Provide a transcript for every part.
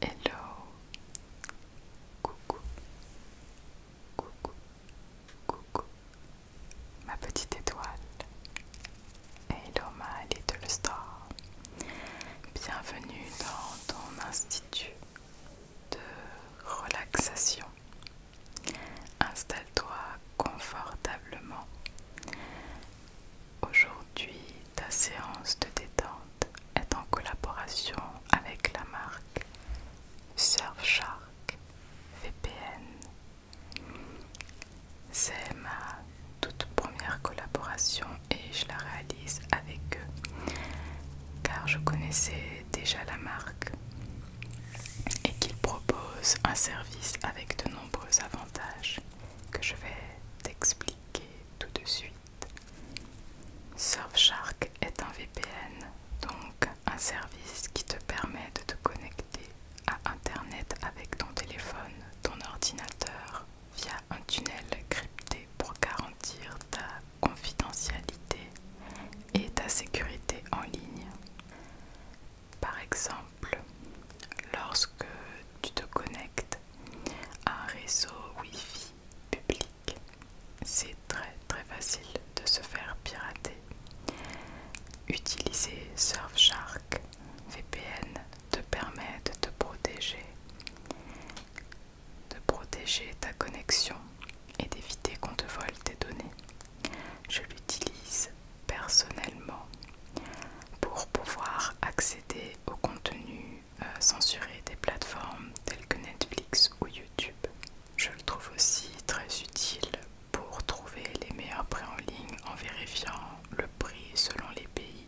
Hello, coucou, coucou, coucou, ma petite étoile. Hello, ma little star. Bienvenue dans ton institut de relaxation. Installe-toi confortablement. Aujourd'hui, ta séance de détente est en collaboration avec la marque Surfshark VPN. C'est ma toute première collaboration et je la réalise avec eux car je connaissais déjà la marque et qu'ils proposent un service avec de nombreux avantages que je vais t'expliquer tout de suite. Surfshark est un VPN, donc un service qui te permet de te connecter à Internet avec ton téléphone, ton ordinateur, via un tunnel crypté pour garantir ta confidentialité et ta sécurité en ligne. Par exemple, lorsque tu te connectes un réseau Wi-Fi public. C'est très très facile de se faire pirater. Utiliser Surfshark VPN te permet de te protéger, de protéger ta connexion et d'éviter qu'on te vole tes données. Je l'utilise personnellement pour pouvoir accéder au contenu euh, censurer des plateformes telles que Netflix ou YouTube. Je le trouve aussi très utile pour trouver les meilleurs prix en ligne en vérifiant le prix selon les pays.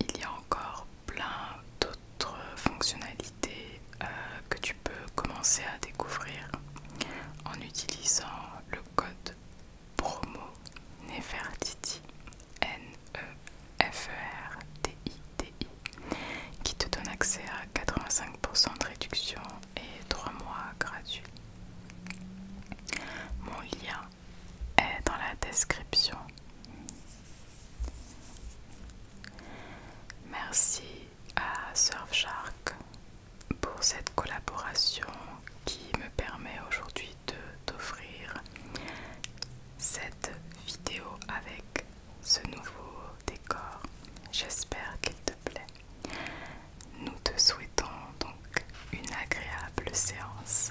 Il y a encore plein d'autres fonctionnalités euh, que tu peux commencer à découvrir en utilisant le code promo Nefertiti N-E-F-E-R-T-I-T-I, qui te donne accès à 85% de réduction et 3 mois gratuits. Mon lien est dans la description. Merci à Surfshark pour cette collaboration qui me permet aujourd'hui de t'offrir cette vidéo avec ce nouveau décor. J'espère qu'il te plaît. Nous te souhaitons donc une agréable séance.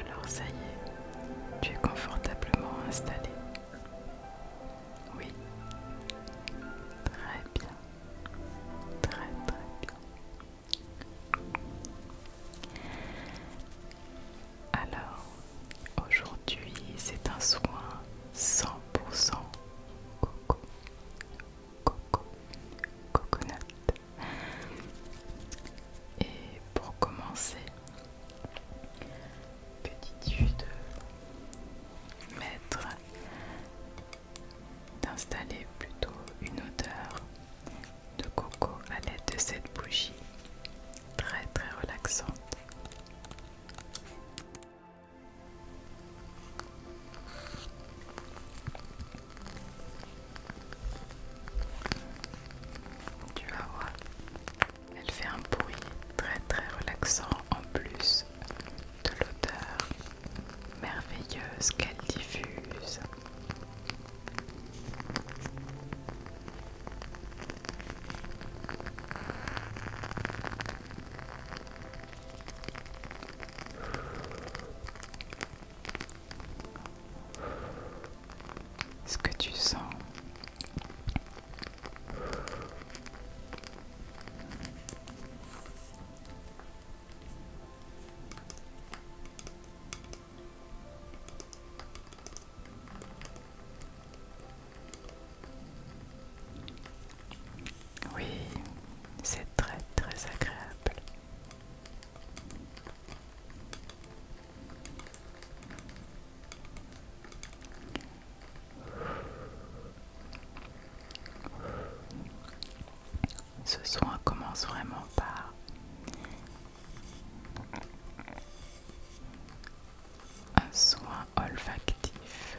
Alors ça y est, tu es confortablement installé. Oui. Très bien. Très très bien. Alors, aujourd'hui, c'est un soin 100% coco coco, coconut. Et pour commencer, que dis-tu de mettre, d'installer plutôt une odeur de coco à l'aide de cette bougie très très relaxante. Tu vas elle fait un bruit très très relaxant en plus de l'odeur merveilleuse qu'elle diffuse. Ce que tu sens. Oui, c'est très très agréable. Ce soin commence vraiment par un soin olfactif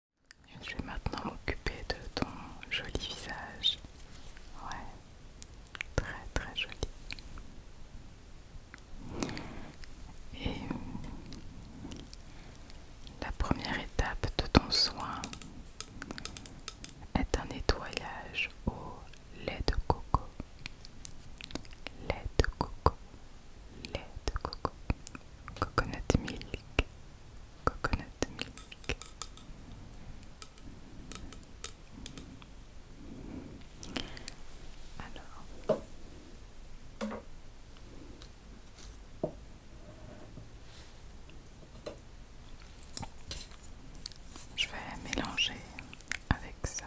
Je vais maintenant m'occuper de ton joli visage. Ouais, très très joli. Et euh, la première étape de ton soin est un nettoyage au lait de coco. Lait de coco. Lait de coco. Coconut milk coconut milk. Alors, je vais mélanger avec ça.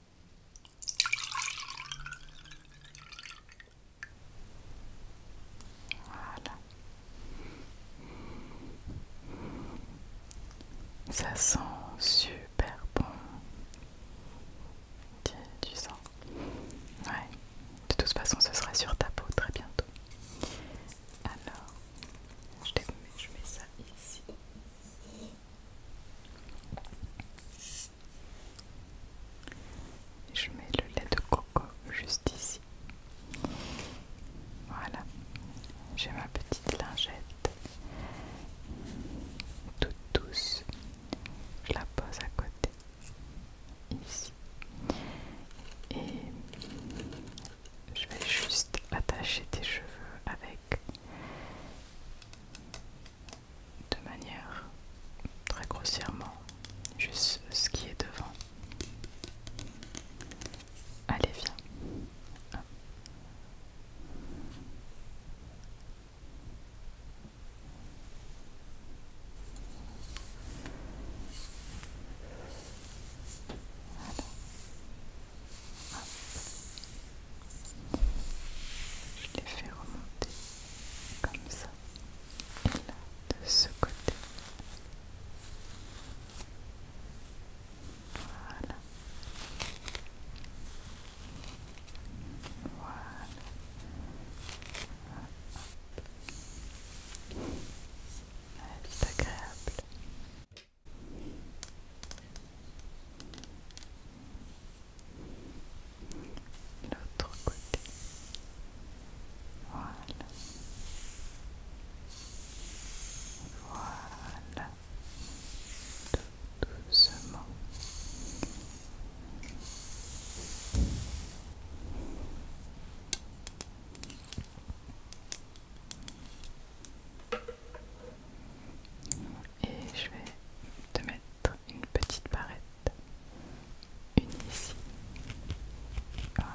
Voilà. Ça sent super bon. Tu, sens Ouais. De toute façon, ce sera sur ta peau très bientôt. Alors, je, je mets ça ici je mets le lait de coco juste ici. Voilà, j'ai ma petite lingette toute douce. Je la pose à côté, ici. Et je vais juste attacher tes cheveux avec de manière très grossièrement, juste ce qui est devant. Allez, viens. Je les fais remonter comme ça. Et là, de ce côté. Voilà. Voilà. C'est ah, agréable l'autre côté. Voilà. Voilà. Tout doucement. Et je vais te mettre une petite barrette. Une ici. Voilà.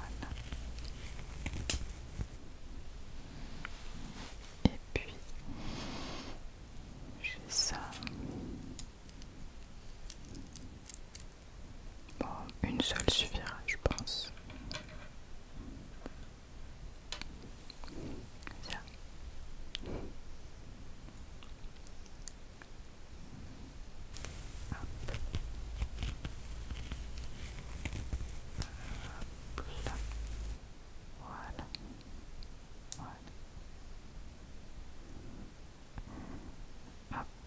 Et puis, j'ai ça. Bon, une seule suffira, je pense. Voilà. Voilà.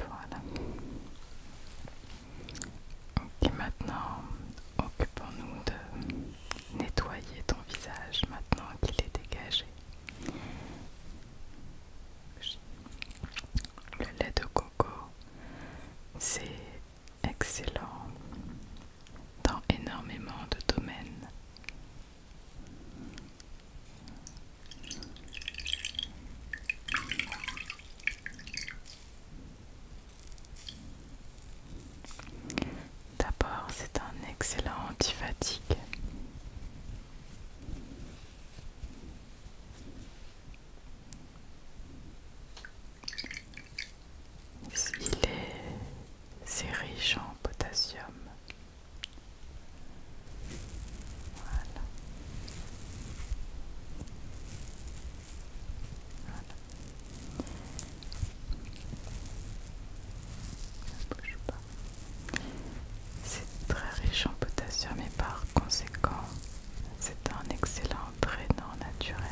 voilà. maintenant, occupons-nous de nettoyer ton visage maintenant qu'il est dégagé. Le lait de coco, c'est excellent dans énormément de domaines. D'abord, c'est un excellent antifatigue. Il est, riche en potassium. Voilà. C'est très riche en potassium et par conséquent, c'est un excellent drainant naturel.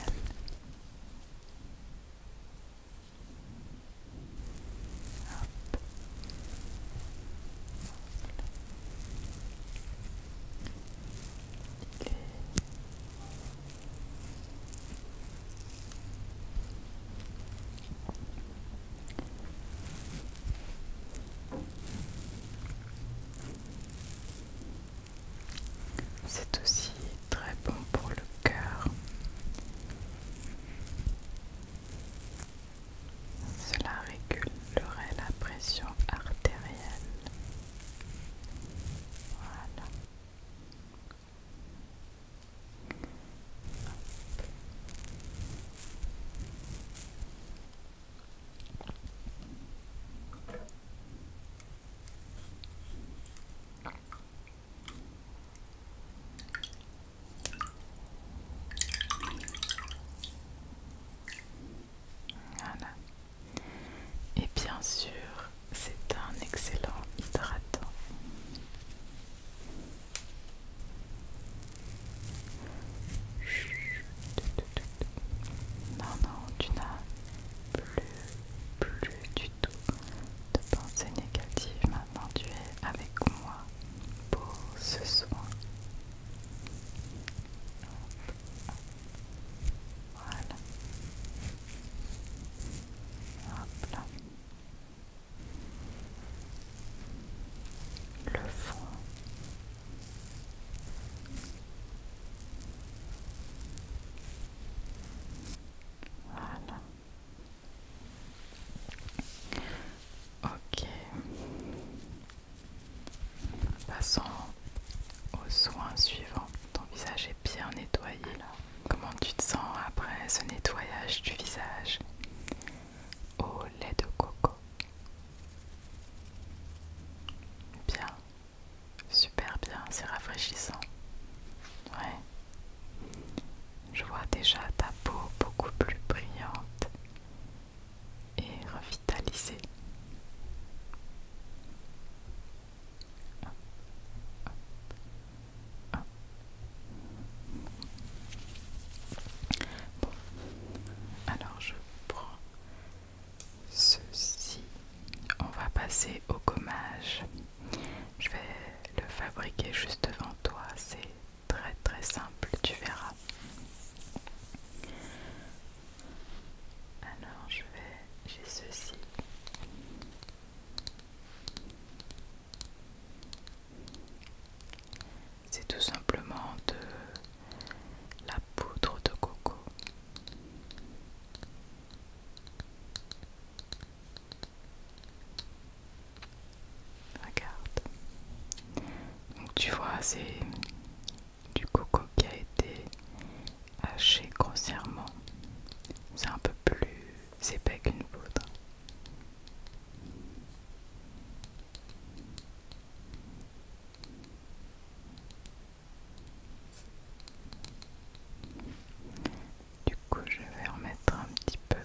C'est aussi très bon pour le cœur. Cela régulerait la pression artérielle. Et bien sûr, c'est un excellent hydratant. Non, non, tu n'as plus, plus du tout de pensées négatives. Maintenant, tu es avec moi pour ce soin. Voilà le fond Ok. Passons au soin suivant. Ton visage est bien nettoyé. Comment tu te sens après ce nettoyage du visage au lait de coco Bien, super bien, c'est rafraîchissant. Ouais. Je vois déjà ta peau beaucoup plus brillante et revitalisée. Ah. alors je prends ceci. On va passer au gommage. Je vais le fabriquer juste devant toi. C'est très très simple, tu verras. Alors je vais, j'ai ceci. C'est tout simplement de la poudre de coco. Regarde. Donc tu vois, c'est du coco qui a été haché grossièrement. C'est un peu plus c'est pas qu'une poudre. Du coup, je vais remettre un petit peu.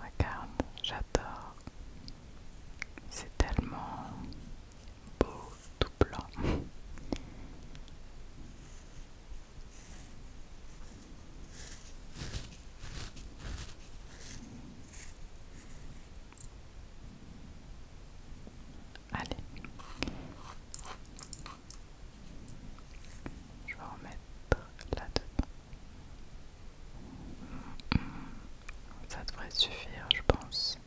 Regarde, j'adore. C'est tellement beau, tout blanc. Allez, je vais remettre là-dedans. Ça devrait suffire, je pense.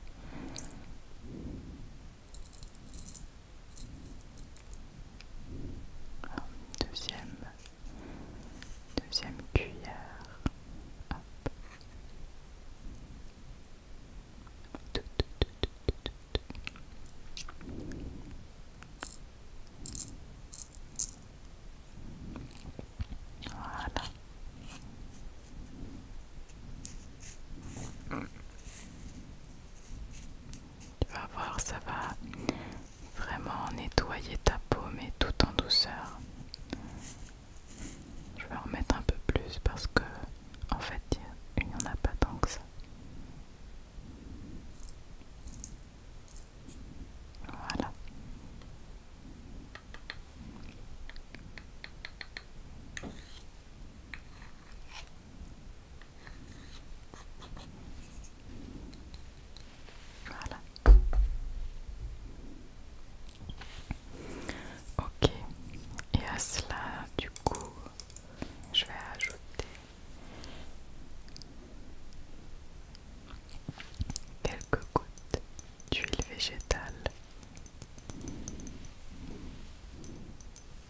Deuxième, deuxième cuillère. Tu vas voir, ça va vraiment nettoyer ta peau, mais tout en douceur. Je vais en mettre un peu plus parce que, en fait, il n'y en a pas tant que ça. Voilà. Voilà. Ok. Et à cela, du coup, je vais ajouter quelques gouttes d'huile végétale.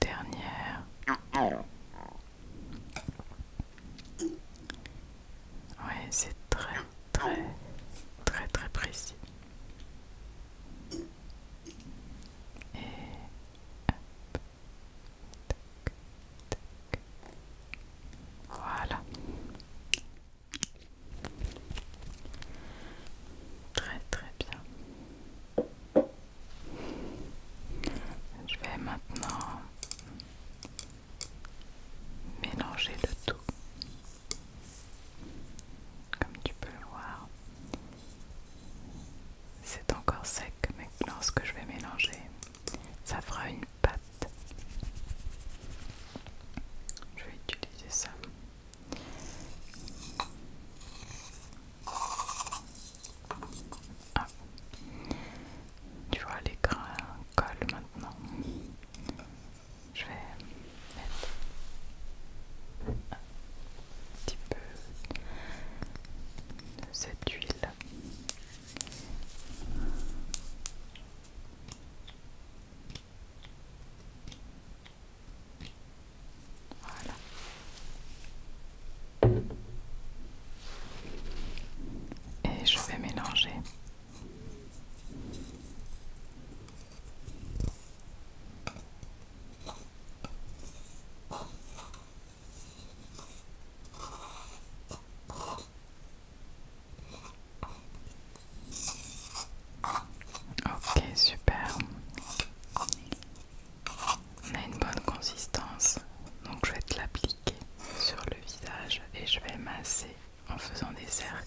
Dernière. Ouais, c'est très, très, très, très précis. Voilà. Très très bien. Je vais maintenant mélanger le tout. Comme tu peux le voir. C'est encore sec, mais que je vais mélanger, ça fera une pâte. Je vais utiliser ça. Ah. Tu vois, les grains collent maintenant. Je vais mettre petit peu de cette huile. Voilà. Et je vais mélanger. Ok, super. On a une bonne consistance, donc je vais te l'appliquer sur le visage et je vais masser en faisant des cercles.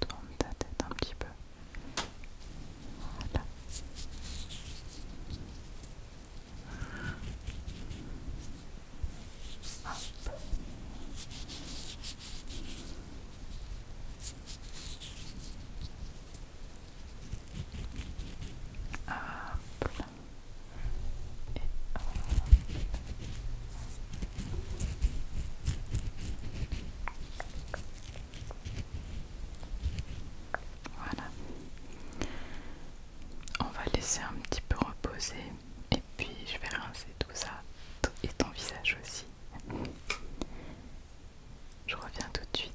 Tourne ta tête un petit peu. Hop. Voilà. On va laisser un petit peu reposer et puis je vais rincer tout ça et ton visage aussi. Je reviens tout de suite.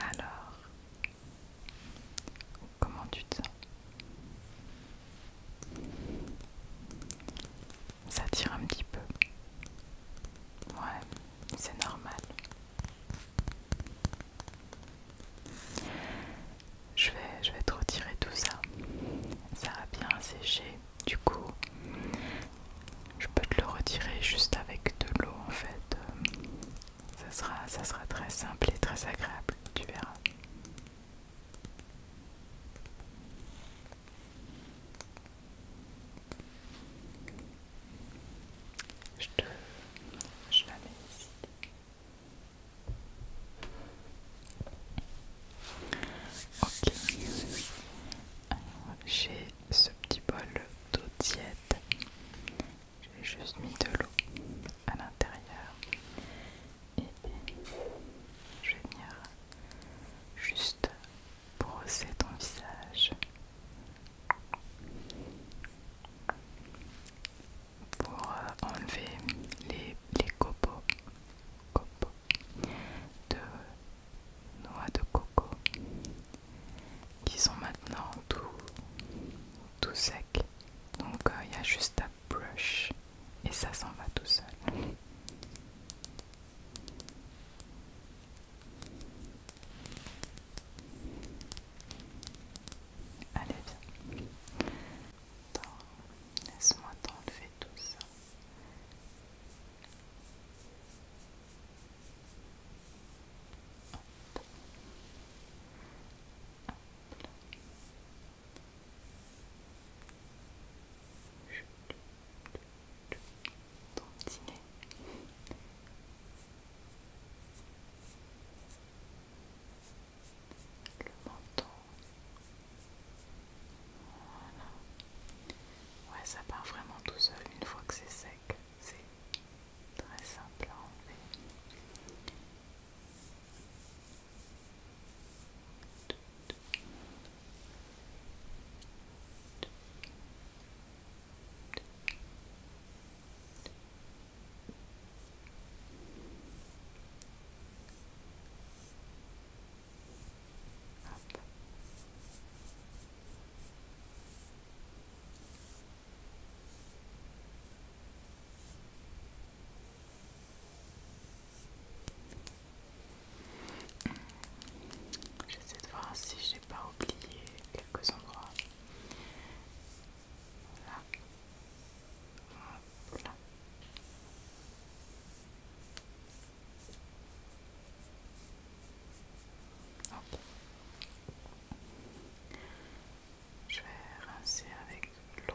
Alors, comment tu te sens Ça tire un petit peu. Ouais, c'est normal. Je vais, je vais te retirer tout ça. Ça a bien séché. Du coup, je peux te le retirer juste avec de l'eau en fait. Ça sera, ça sera très simple et très agréable, tu verras. Je te... Je la ici. Ok. J'ai ce petit bol d'eau tiède. J'ai juste mis de l'eau à l'intérieur. Et je vais venir juste brosser ton visage pour euh, enlever les, les copeaux, de noix de coco qui sont maintenant tout, tout secs. Donc euh, il y a juste à brush et ça s'en va tout seul. Allez, viens. Laisse-moi t'enlever tout ça. Le menton. Ouais, ça part vraiment tout seul une fois que c'est sec. C'est très simple à enlever. Hop. J'essaie de voir si j'ai pas oublié que quelques endroits. Là, Voilà. Okay. Je vais rincer avec l'eau.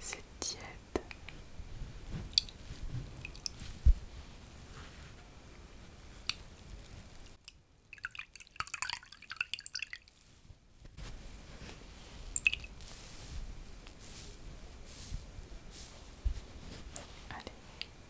C'est tiède. Allez,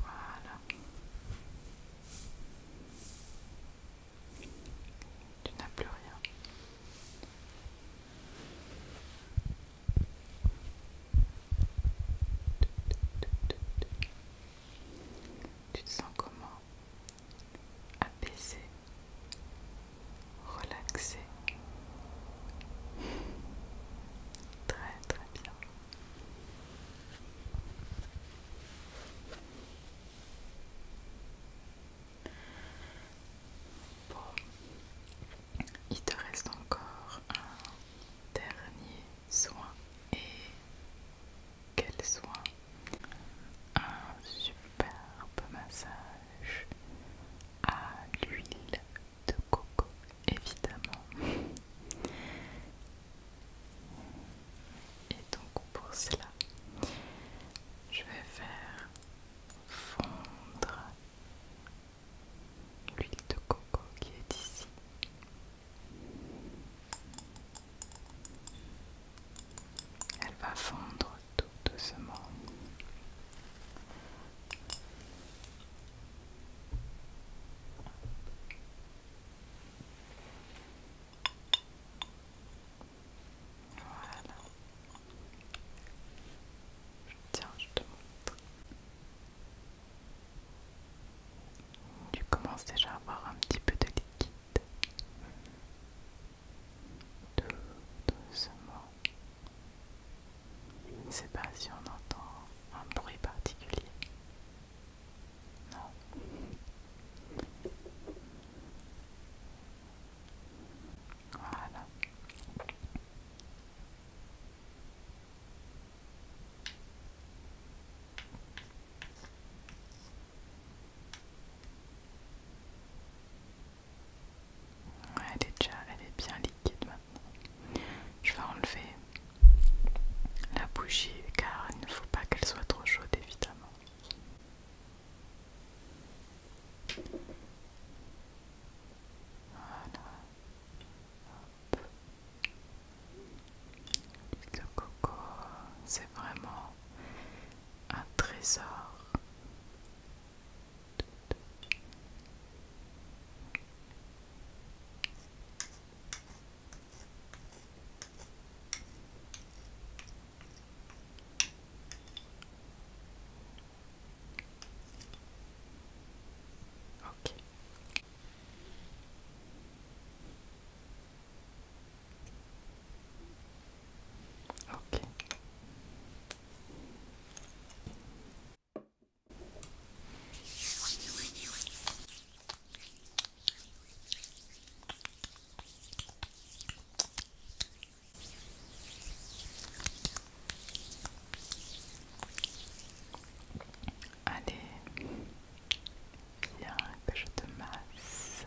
Voilà. Tu n'as plus rien. Tu te sens comment apaisé, relaxé. Très très bien. Bon, il te reste encore un dernier soin. Et quel soin un superbe massage à l'huile de coco évidemment et donc pour cela je vais faire fondre l'huile de coco qui est ici elle va fondre tout doucement. Voilà. Tiens, je te montre. Tu commences déjà à avoir un petit peu de liquide. Deux, doucement. Je ne sais pas si on entend un bruit particulier. Non. Voilà elle est déjà, elle est bien liquide maintenant. Je vais enlever la bougie car il ne faut pas qu'elle soit trop chaude évidemment. Voilà. coco, c'est vraiment un trésor. Ok. Allez, bien que je te masse.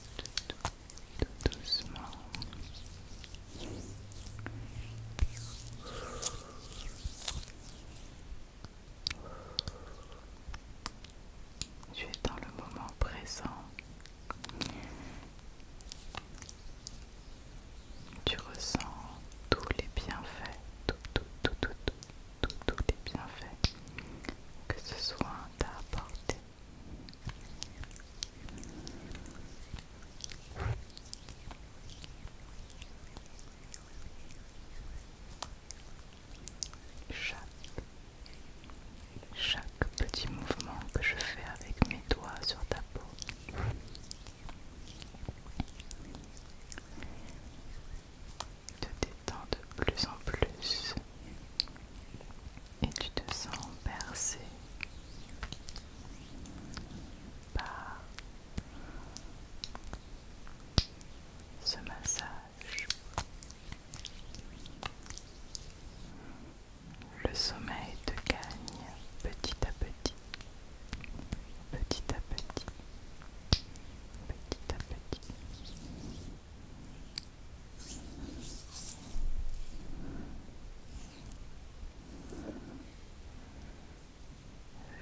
tout, doucement. Tu es dans le moment présent. Tu ressens tous les bienfaits, tout, tout, tout, tout, tout, tout les bienfaits que ce soin t'a Chaque, chaque petit mouvement que je fais avec mes doigts sur ta peau te détends de plus en plus et tu te sens bercé par ce massage. Le sommeil te gagne petit à petit, petit à petit, petit à petit.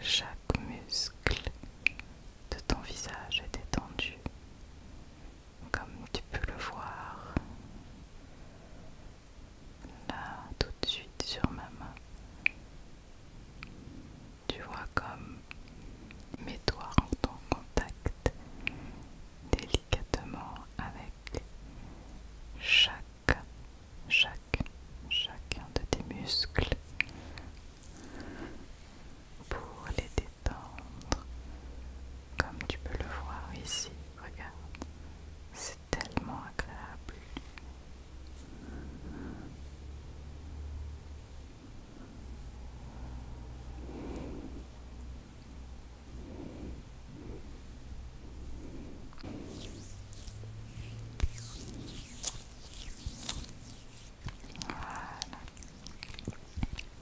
Chaque muscle de ton visage est détendu, comme tu peux le voir. Là, tout de suite sur ma main. Tu vois comme Mets-toi en contact délicatement avec chaque, chaque, chacun de tes muscles pour les détendre. Comme tu peux le voir ici, regarde, c'est tellement agréable.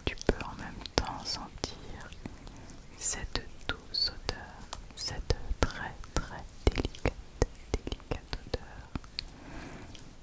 Tu peux en même temps sentir cette douce odeur, cette très très délicate, délicate odeur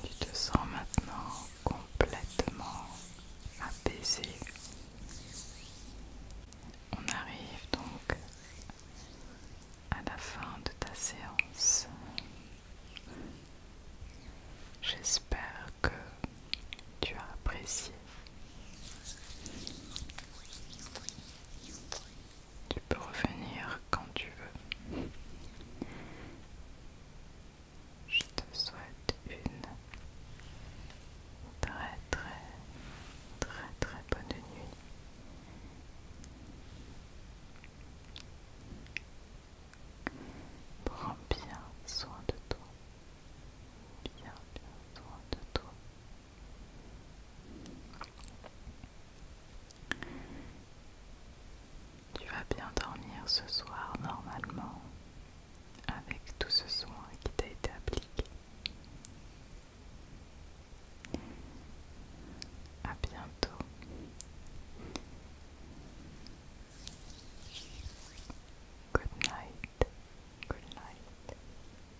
Tu te sens maintenant complètement apaisé. On arrive donc à la fin de ta séance. J'espère que tu as apprécié. Tu peux revenir quand tu veux. Je te souhaite une très très très très bonne nuit. Prends bien soin de toi. Bien bien soin de tout. Tu vas bien dormir ce soir normalement avec tout ce soin qui t'a été appliqué. À bientôt. Good night. Good night.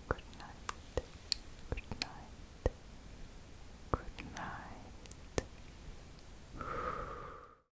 Good night. Good night. Good night.